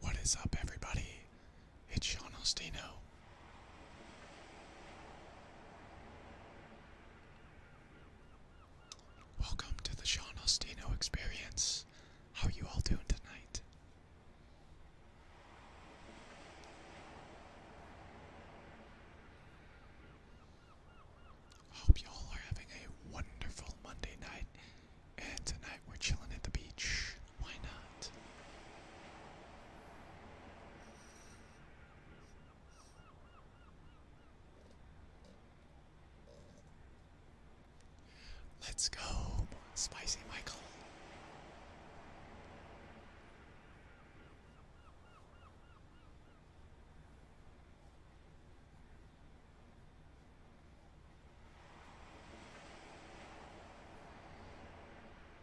What is up, everybody? It's Sean Ostino. Welcome to the Sean Ostino experience. How are you all doing tonight? Hope you all are having a wonderful Monday night, and tonight we're chilling at the beach. Why not? Let's go, Spicy Michael.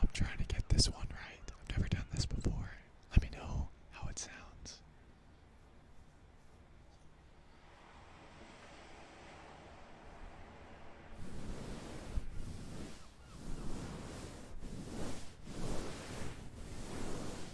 I'm trying to get this one right. I've never done this before. Let me know how it sounds.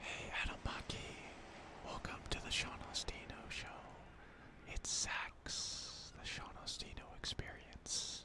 Hey Adam welcome to the Sean Ostino Show. It's Sax, the Sean Ostino Experience.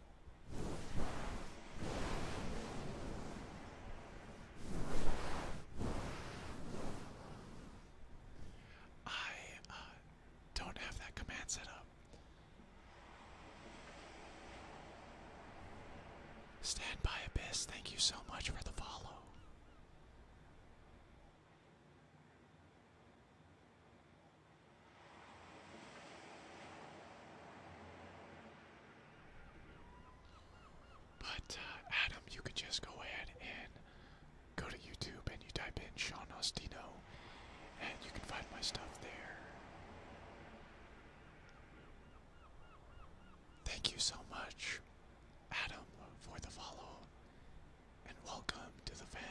I uh, don't have that command set up. Stand by Abyss, thank you so much for the follow. But uh, Adam, you could just go ahead and go to YouTube and you type in Sean Ostino and you can find my stuff there. Thank you so much, Adam, for the follow and welcome to the fam.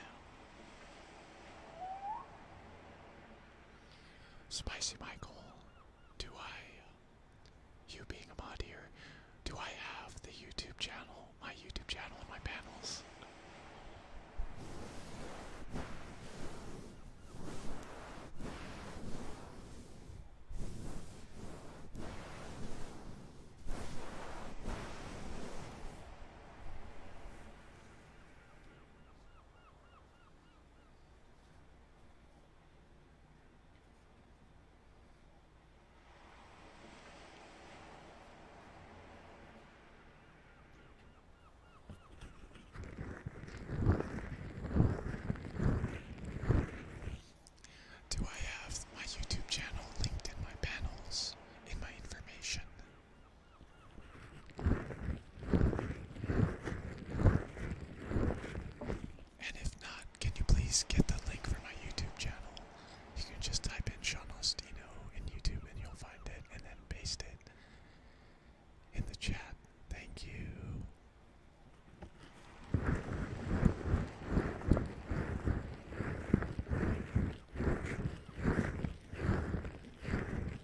Spicy Michael, do I, uh, you being a mod here, do I have the YouTube channel, my YouTube channel and my panels? Do I have my YouTube channel linked in my panels, in my information? And if not, can you please get the link for my YouTube channel? You can just type in Sean Ostino in YouTube and you'll find it and then paste it in the chat. Thank you.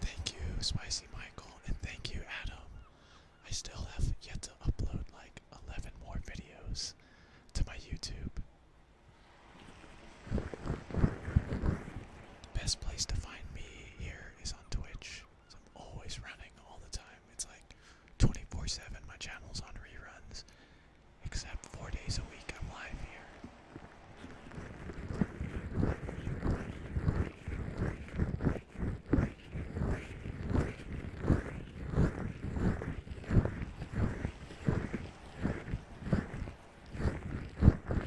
Thank you, Spicy Michael, and thank you, Adam. I still have yet to upload like 11 more videos to my YouTube. The Best place to find me here is on Twitch. I'm always running all the time. It's like 24/7. My channel's on reruns, except four days a week. I'm live here.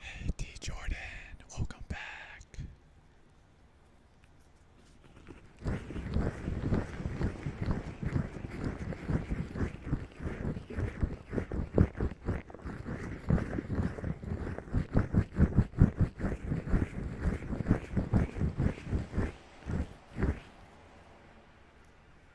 Hey, D Jordan, welcome back.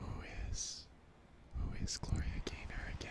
Who is. Who is Gloria Gaynor again?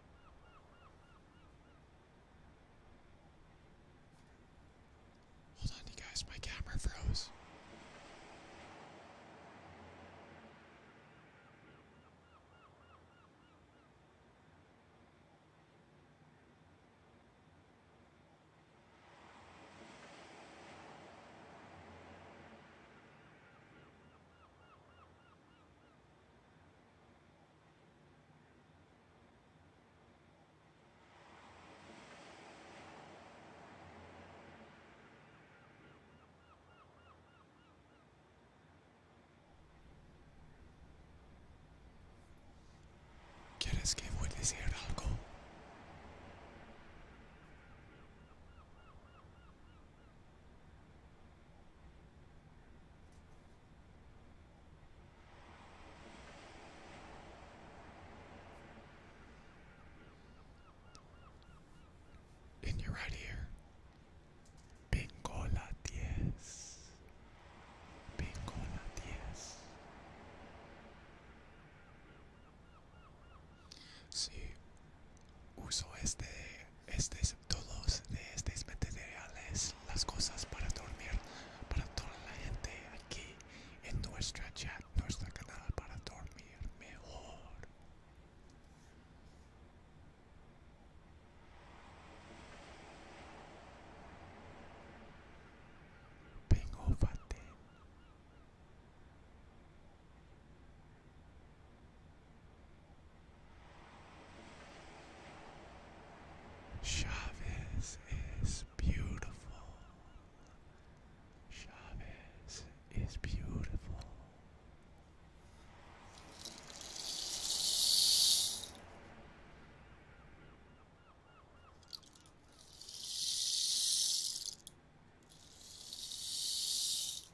Hold on, you guys, my camera froze. ¿Quieres que voy a decir algo? In your right ear. Bingo la Bingo la See, Uso este, estos, todos de estos materiales, las cosas para dormir, para toda la gente aquí en nuestra chat, nuestro canal para dormir mejor. Vengo, Fate. Chavez is beautiful. Chavez is beautiful.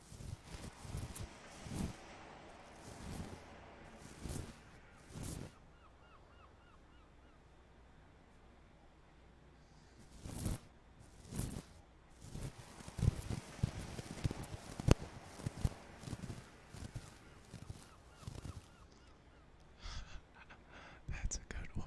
That's a good one.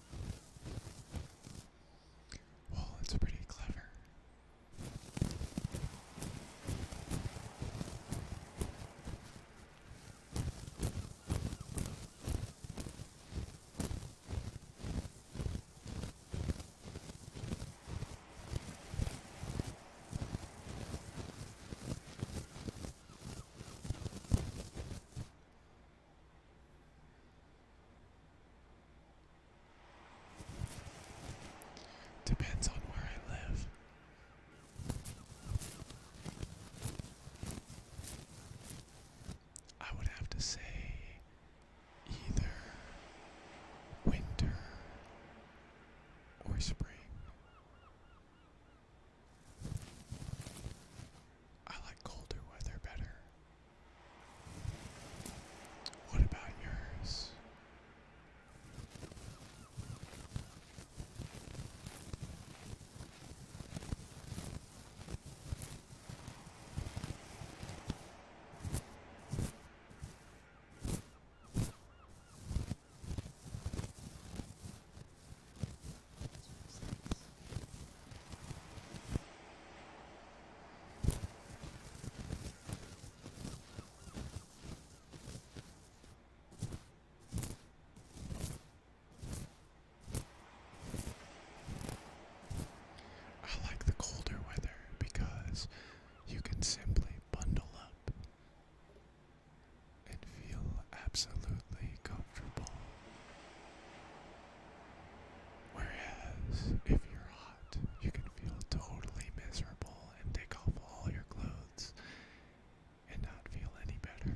Well, it's pretty clever. Depends on where I live. I would have to say either winter or spring. I like colder weather better. What about yours? I like the colder weather because you can simply bundle up and feel absolutely cozy. Whereas, if you're hot, you can feel totally miserable and take off all your clothes and not feel any better.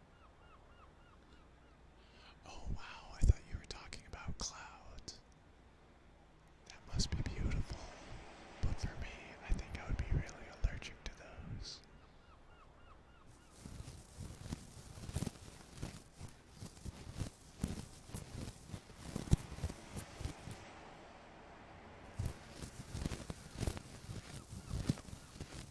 Oh wow, I thought you were talking about clouds. That must be beautiful. But for me, I think I would be really allergic to those.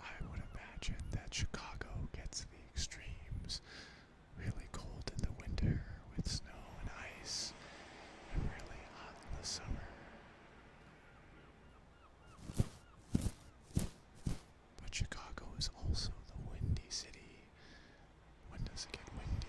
I would imagine that Chicago gets the extremes really cold in the winter with snow and ice, and really hot in the summer. But Chicago is also the windy city. When does it get windy?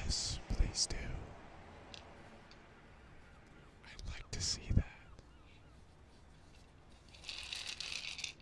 Yes, please do. I'd like to see that.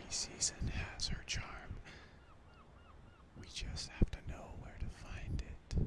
Every season has her charm. We just have to know where to find it.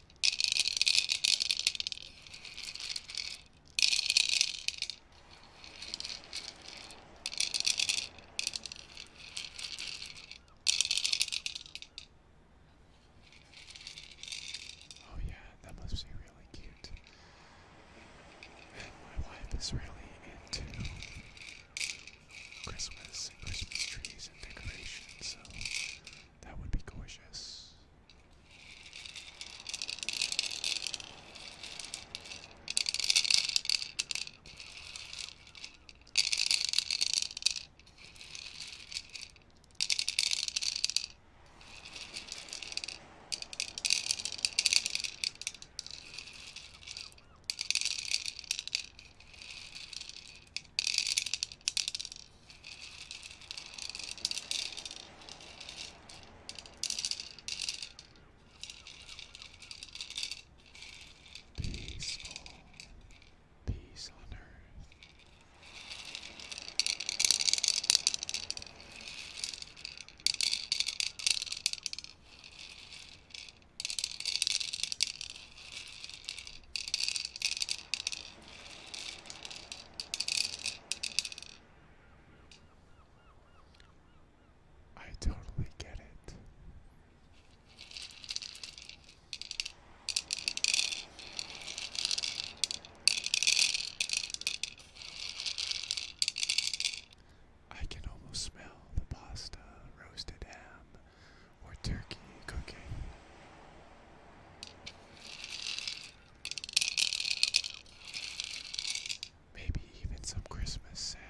Oh, yeah, that must be really cute. And my wife is really into Christmas Christmas trees and decorations, so that would be gorgeous. Peaceful peace on earth. I totally get it. I can almost smell the pasta, roasted ham, or turkey cooking. Maybe even some Christmas salmon.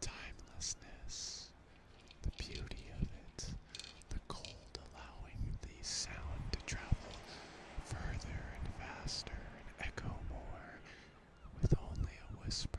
Timelessness, the beauty of it, the cold allowing the sound to travel further and faster and echo more with only a whisper.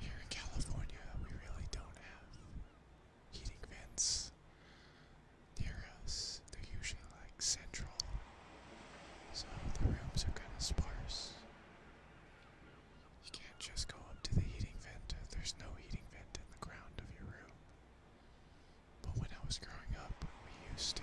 Here in California, we really don't have heating vents near us. They're usually like central, so the rooms are kind of sparse. You can't just go up to the heating vent. There's no heating vent in the ground of your room. But when I was growing up, we used to.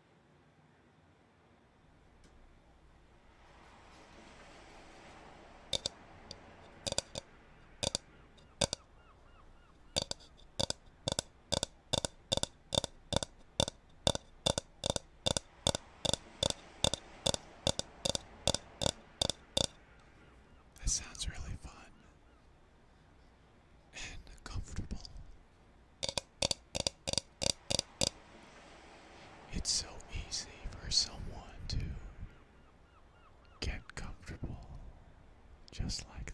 That sounds really fun and comfortable. It's so easy for someone to get comfortable just like that.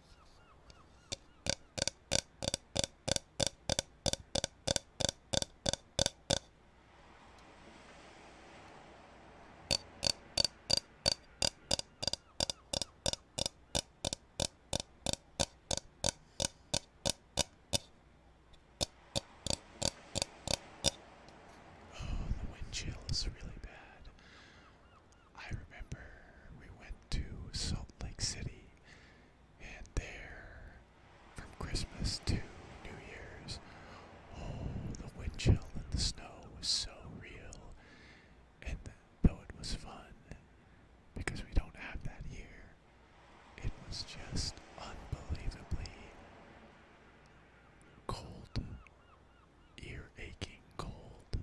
Oh, the wind chill is really bad. I remember we went to Salt Lake City, and there, from Christmas to New Year's, oh, the wind chill and the snow was so real. And though it was fun, because we don't have that here, it was just unbelievably cold, ear aching cold.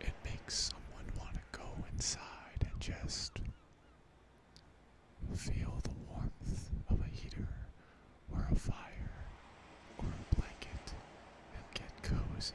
It makes someone want to go inside and just feel the warmth of a heater or a fire or a blanket and get cozy.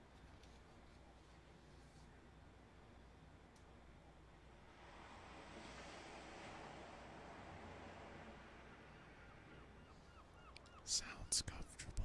Sounds comfortable.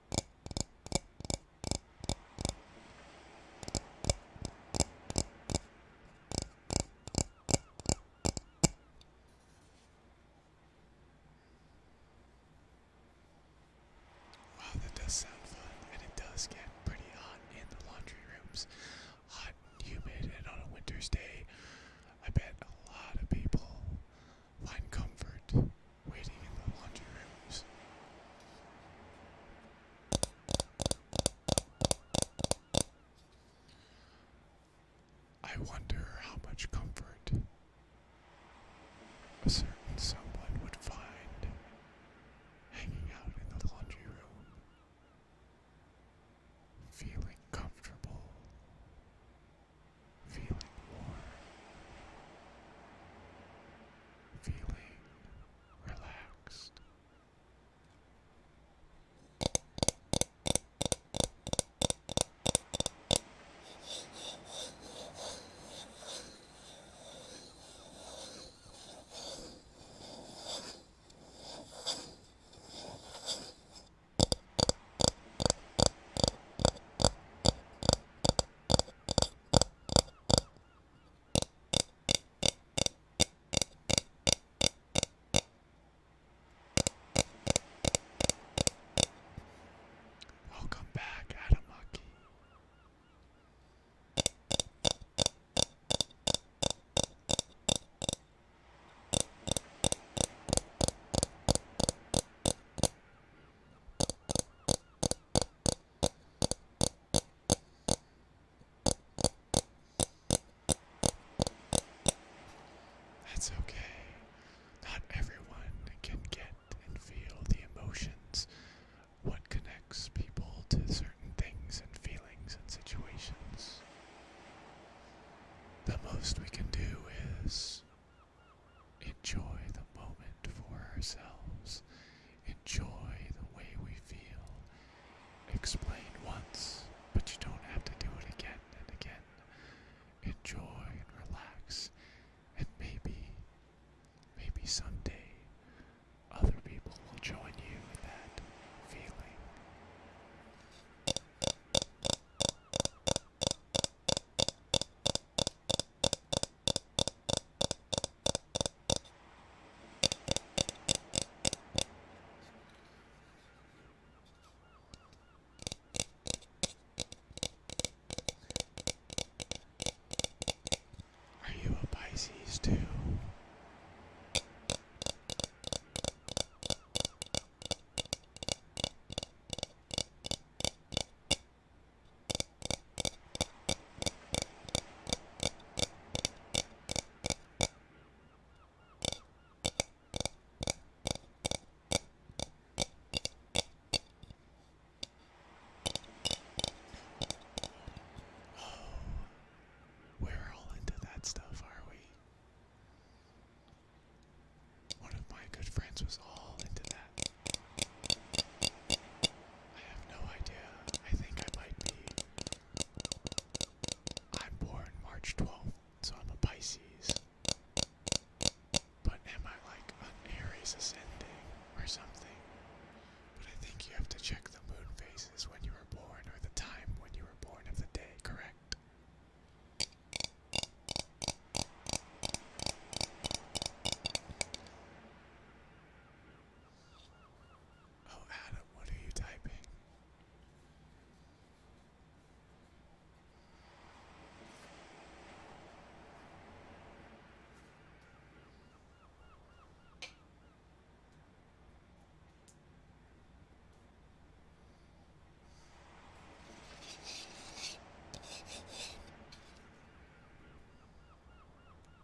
Wow, that does sound fun, and it does get pretty hot in the laundry rooms. Hot and humid, and on a winter's day, I bet a lot of people find comfort waiting in the laundry rooms. I wonder how much comfort a certain someone would find hanging out in the laundry room, feeling comfortable, feeling warm feeling relaxed. Welcome back, Adam Lucky. That's okay. Not everyone can get and feel the emotions. What connects people to certain things and feelings and situations? The most we can do is enjoy the moment for ourselves, enjoy the way we feel. Explain once, but you don't have to do it again and again. Enjoy and relax, and maybe, maybe someday other people will join you in that feeling. Are you a Pisces too? Oh, we're all into that stuff, are we? One of my good friends was all into that. I have no idea. I think I might be. I'm born March 12th, so I'm a Pisces. But am I like an Aries ascending or something? But I think you have to check the moon phases when you were born or the time when you were born of the day, correct? Oh, Adam, what are you typing?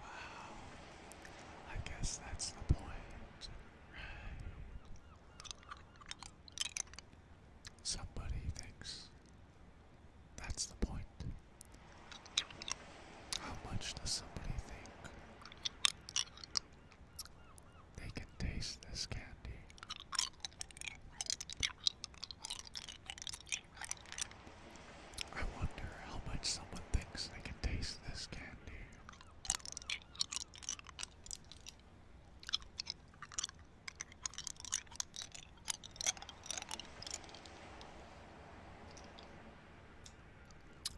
Wow, I guess that's the point, right? Somebody thinks that's the point. How much does somebody think they can taste this candy? I wonder how much someone thinks they can taste this candy.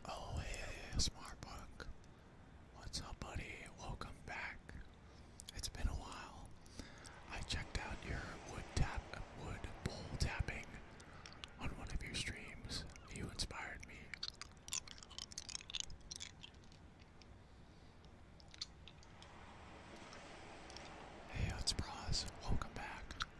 Oh, hey, Smartbuck. What's up, buddy? Welcome back. It's been a while. I checked out your wood tap, wood pole tapping on one of your streams. You inspired me. Hey, it's Bros. Welcome back.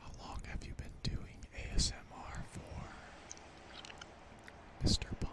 How long have you been doing ASMR for, Mr. Punk?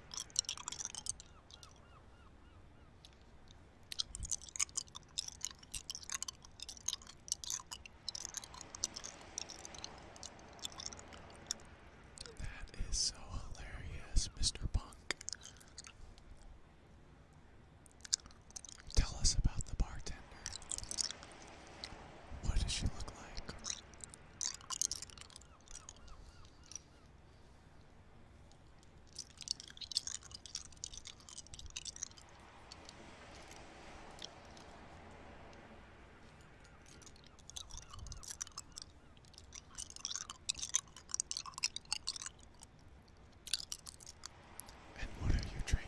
That is so hilarious, Mr. Punk. Tell us about the bartender. What does she look like? And what are you drinking?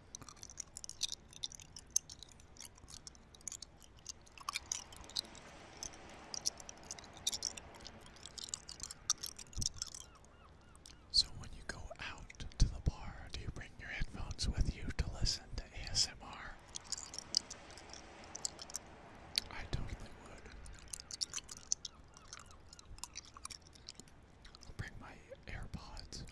So, when you go out to the bar, do you bring your headphones with you to listen to ASMR? I totally would. I'll bring my AirPods.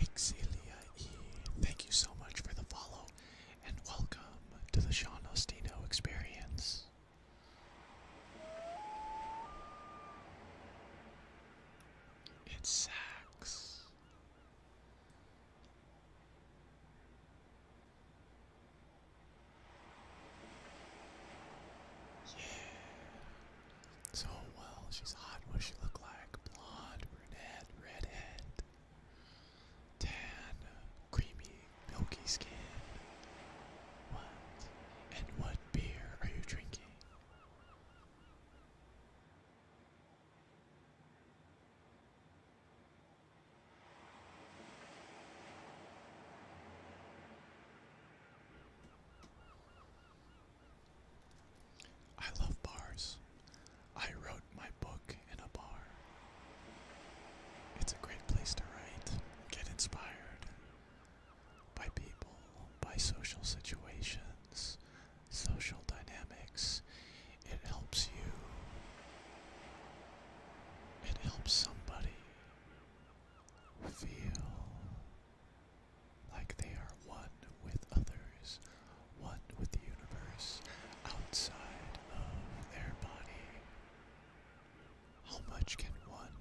Exilia thank you so much for the follow and welcome to the Sean Ostino experience. It sucks. Yeah. So well, she's hot. What she look like? Blonde, brunette, redhead, tan, creamy, milky skin. What? And what beer are you drinking? I love bars. I wrote my book in a bar. It's a great place to write, get inspired, by people, by social situations, social dynamics. It helps you. It helps somebody feel like they are one with others, one with the universe outside of their body. How much can one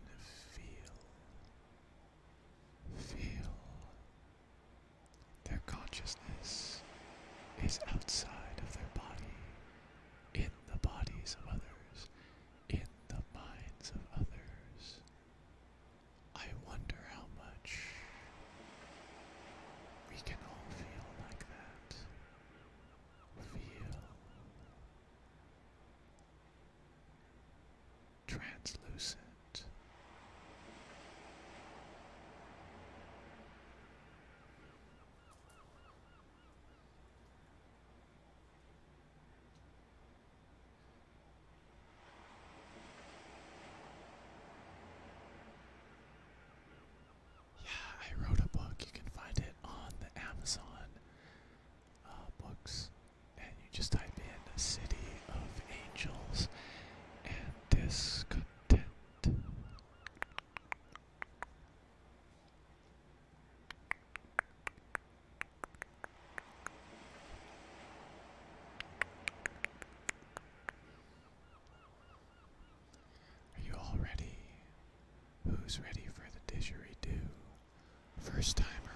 feel Feel their consciousness is outside of their body, in the bodies of others, in the minds of others. I wonder how much we can all feel like that. Feel translucent. Yeah, I wrote a book. You can find it on the Amazon uh, books and you just type in the City of Angels and Discontent. Are you all ready? Who's ready for the didgeridoo? first time around.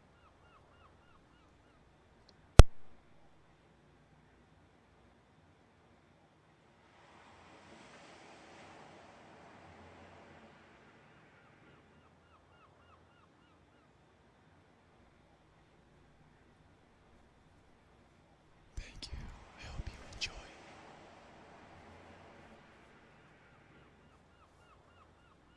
Thank you. I hope you enjoy.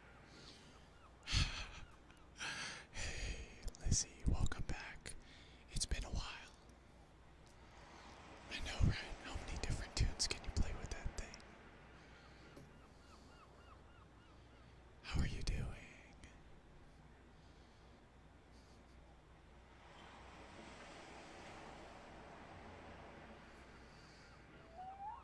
hey, Lizzie, welcome back. It's been a while. I know, right? How many different tunes can you play with that thing? How are you doing?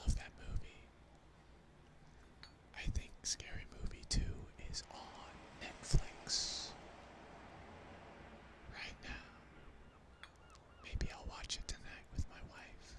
Love that movie. I think Scary Movie 2 is on Netflix right now. Maybe I'll watch it tonight with my wife.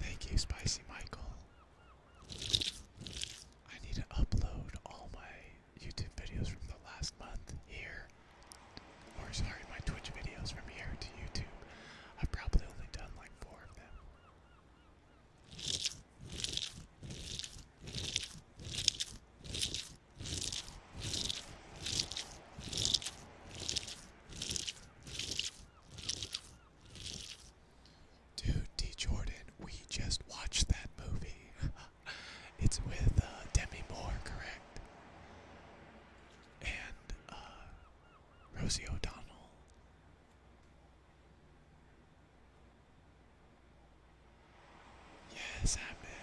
Thank you, Spicy Michael. I need to upload all my YouTube videos from the last month here or sorry, my Twitch videos from here to YouTube. I've probably only done like four of them. Dude, D. Jordan, we just watched that movie. it's with uh, Demi Moore, correct? and uh, Rosie O'Donnell. Yes, Ahmed.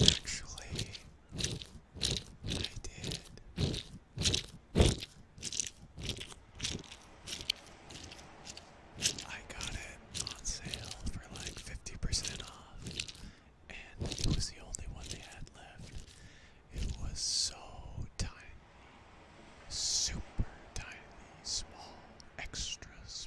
Actually, I did. I got it on sale for like 50% off, and it was the only one they had left. It was so tiny, super tiny, small, extra small.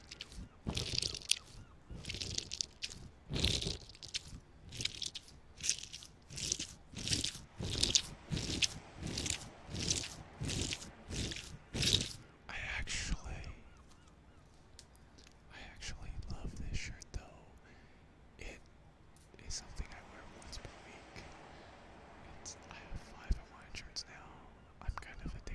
I actually I actually love this shirt though. It is something I wear once per week. I have five of my shirts now. I'm kind of addicted.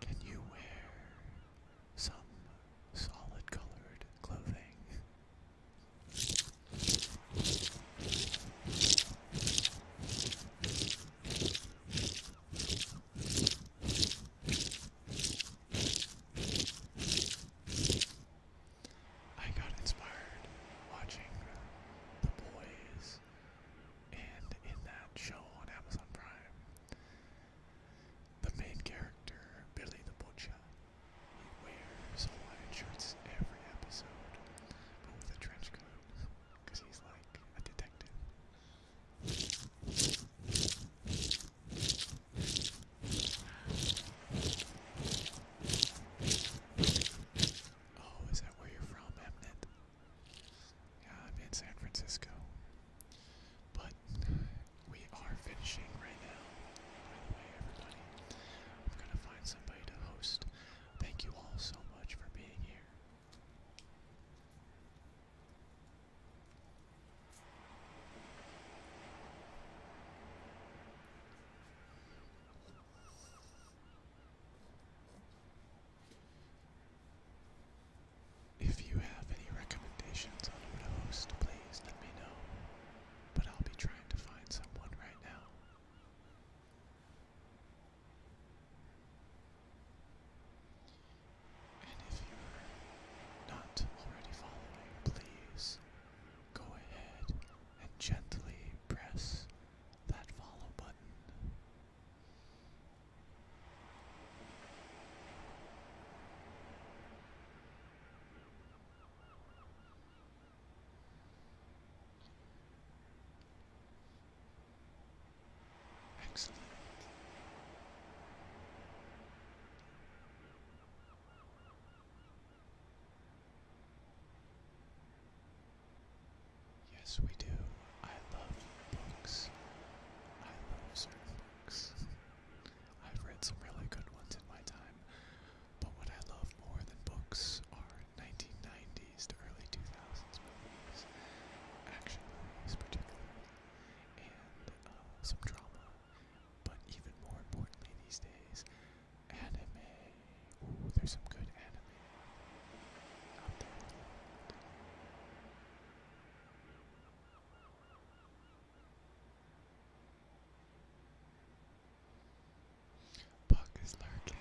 Can you wear some solid colored clothing? I got inspired watching The Boys, and in that show on Amazon Prime, the main character, Billy the Butcher, he wears Hawaiian shirts every episode, but with a trench coat, because he's like a detective. Oh, is that where you're from, Emnet? Yeah, I'm in San Francisco. But we are finishing right now. By the way, everybody, I'm gonna find somebody to host. Thank you all so much for being here. If you have any recommendations on who to host, please let me know. But I'll be trying to find someone right now. And if you're not already following, please go ahead and gently press that follow button. Excellent. Yes, we do. I love books. I love certain books. I've read some really good ones in my time, but what I love more than books are 1990s to early 2000s movies, action movies particularly, and uh, some drama. But even more importantly these days, anime. Ooh, there's some good anime out there. Buck is lurking.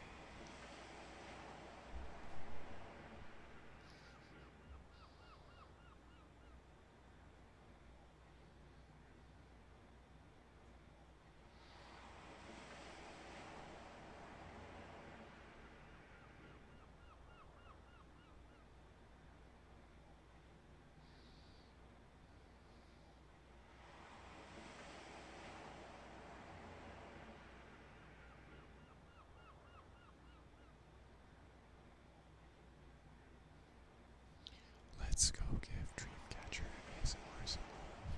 Let's go give Dreamcatcher ASMR some love.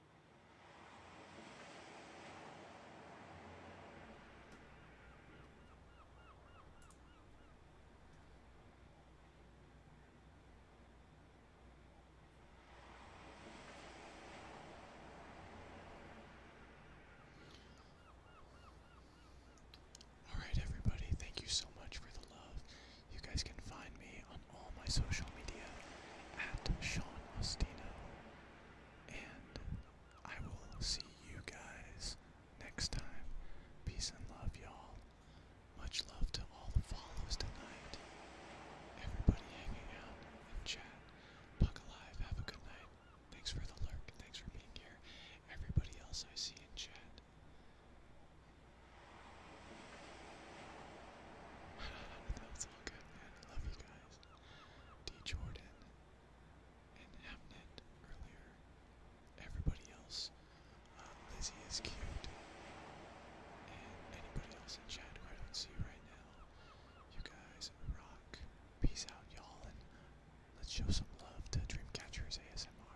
Alright, everybody, thank you so much for the love. You guys can find me on all my social media at Sean Ostino. And I will see you guys next time. Peace and love, y'all. Much love to all the follows tonight. Everybody hanging out in chat. Buck alive. Have a good night. Thanks for the lurk. Thanks for being here. Everybody else I see in chat. That's all good, man. I love you guys. D. Jordan and Hamnet earlier. Everybody else. Um, Lizzie is cute. And anybody else in chat who I don't see right now. You guys rock. Peace out, y'all. And let's show some love to Dreamcatchers ASMR.